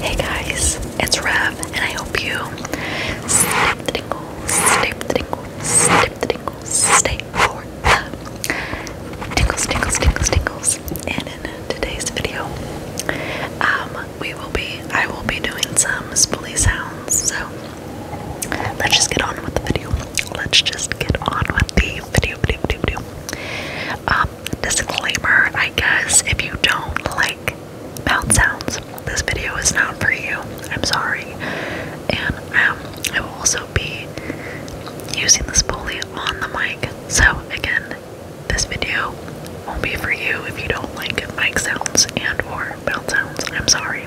Hey guys, it's Rev, and I hope you stay with the tingles, stay with the tingles, stay with the tingles, stay for the tingles, tingles, tingles, tingles. And in today's video, um, we will be, I will be doing some spoolie sounds. So let's just get on with the video. Let's just get on with the video, video, video, video. Um, disclaimer, I guess, if you don't like mouth sounds, this video is not for you. I'm sorry. And um, I will also be using the spoolie on the mic. So, again, this video won't be for you if you don't like mic sounds and or mouth sounds. I'm sorry.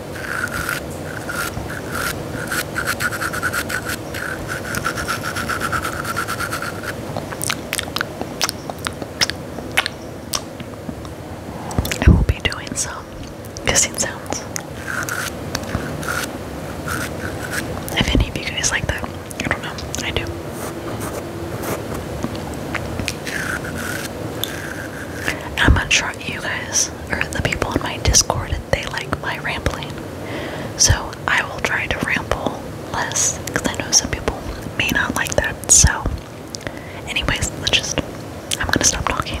I will be doing some kissing sounds. If any of you guys like that, I don't know. I do. I'm not sure you guys or the people in my Discord they like my rambling. So I will try to ramble less because I know some people may not like that. So, anyways, let's just, I'm gonna stop talking.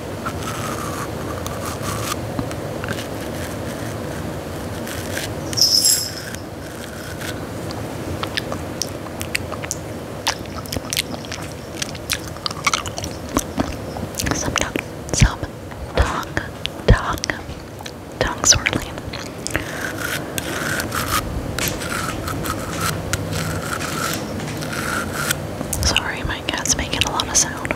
Some tongue, tongue, tongue, tongue swirling. Sorry, my cat's making a lot of sound.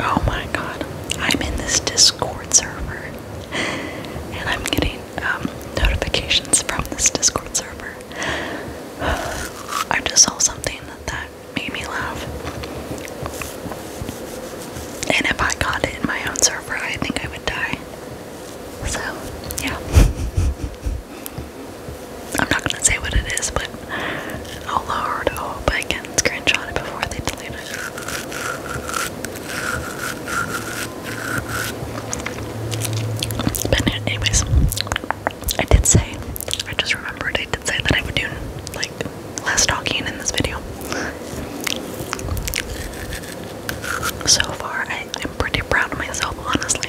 Oh my god, I'm in this Discord server and I'm getting um, notifications from this Discord server. Uh, I just saw something that, that made me laugh. And if I got it in my own server, I think I would die. So, yeah. I'm not gonna say what it is, but Oh lord, I hope I can screenshot it before they delete it. But anyways, I did say, I just remembered I did say that I would do like less talking in this video. So far I am pretty proud of myself honestly.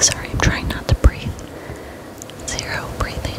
Sorry, I'm trying not to breathe. Zero breathing.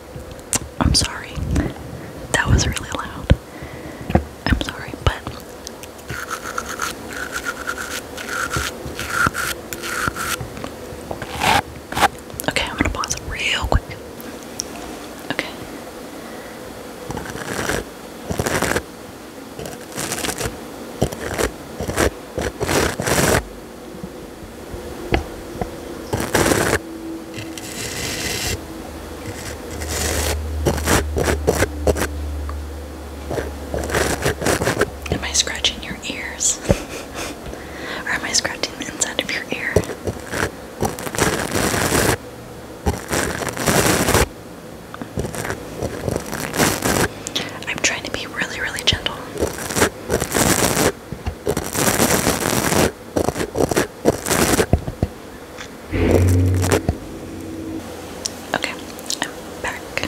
I'm sorry. That was really loud. I'm sorry, but Okay, I'm gonna pause real quick. Okay. Am I scratching your ears? or am I scratching the inside of your ear? I'm trying to be really, really gentle. Okay, I'm back.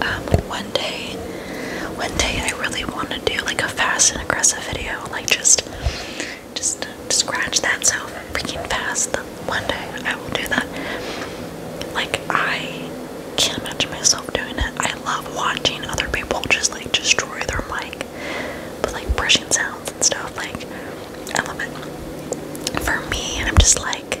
Um, one day, one day I really want to do like a fast and aggressive video, like just, just scratch that so freaking fast. One day I will do that. Like I can't imagine myself doing it. I love watching other people just like destroy their mic, but like brushing sounds and stuff. Like I For me, and I'm just like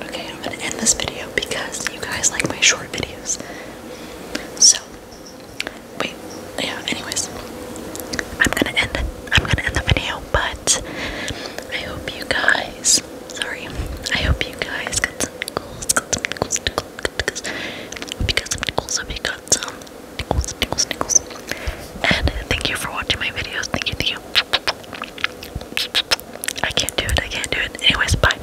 Okay, I'm gonna end this video because you guys like my short videos. So Wait, yeah, anyways. I'm gonna end I'm gonna end the video, but I hope you guys sorry. I hope you guys got some tickles, got some tickles, tickles, tickles. Hope you got some tickles, hope you got some tickles, And thank you for watching my videos. thank you. I can't do it, I can't do it. Anyways, bye.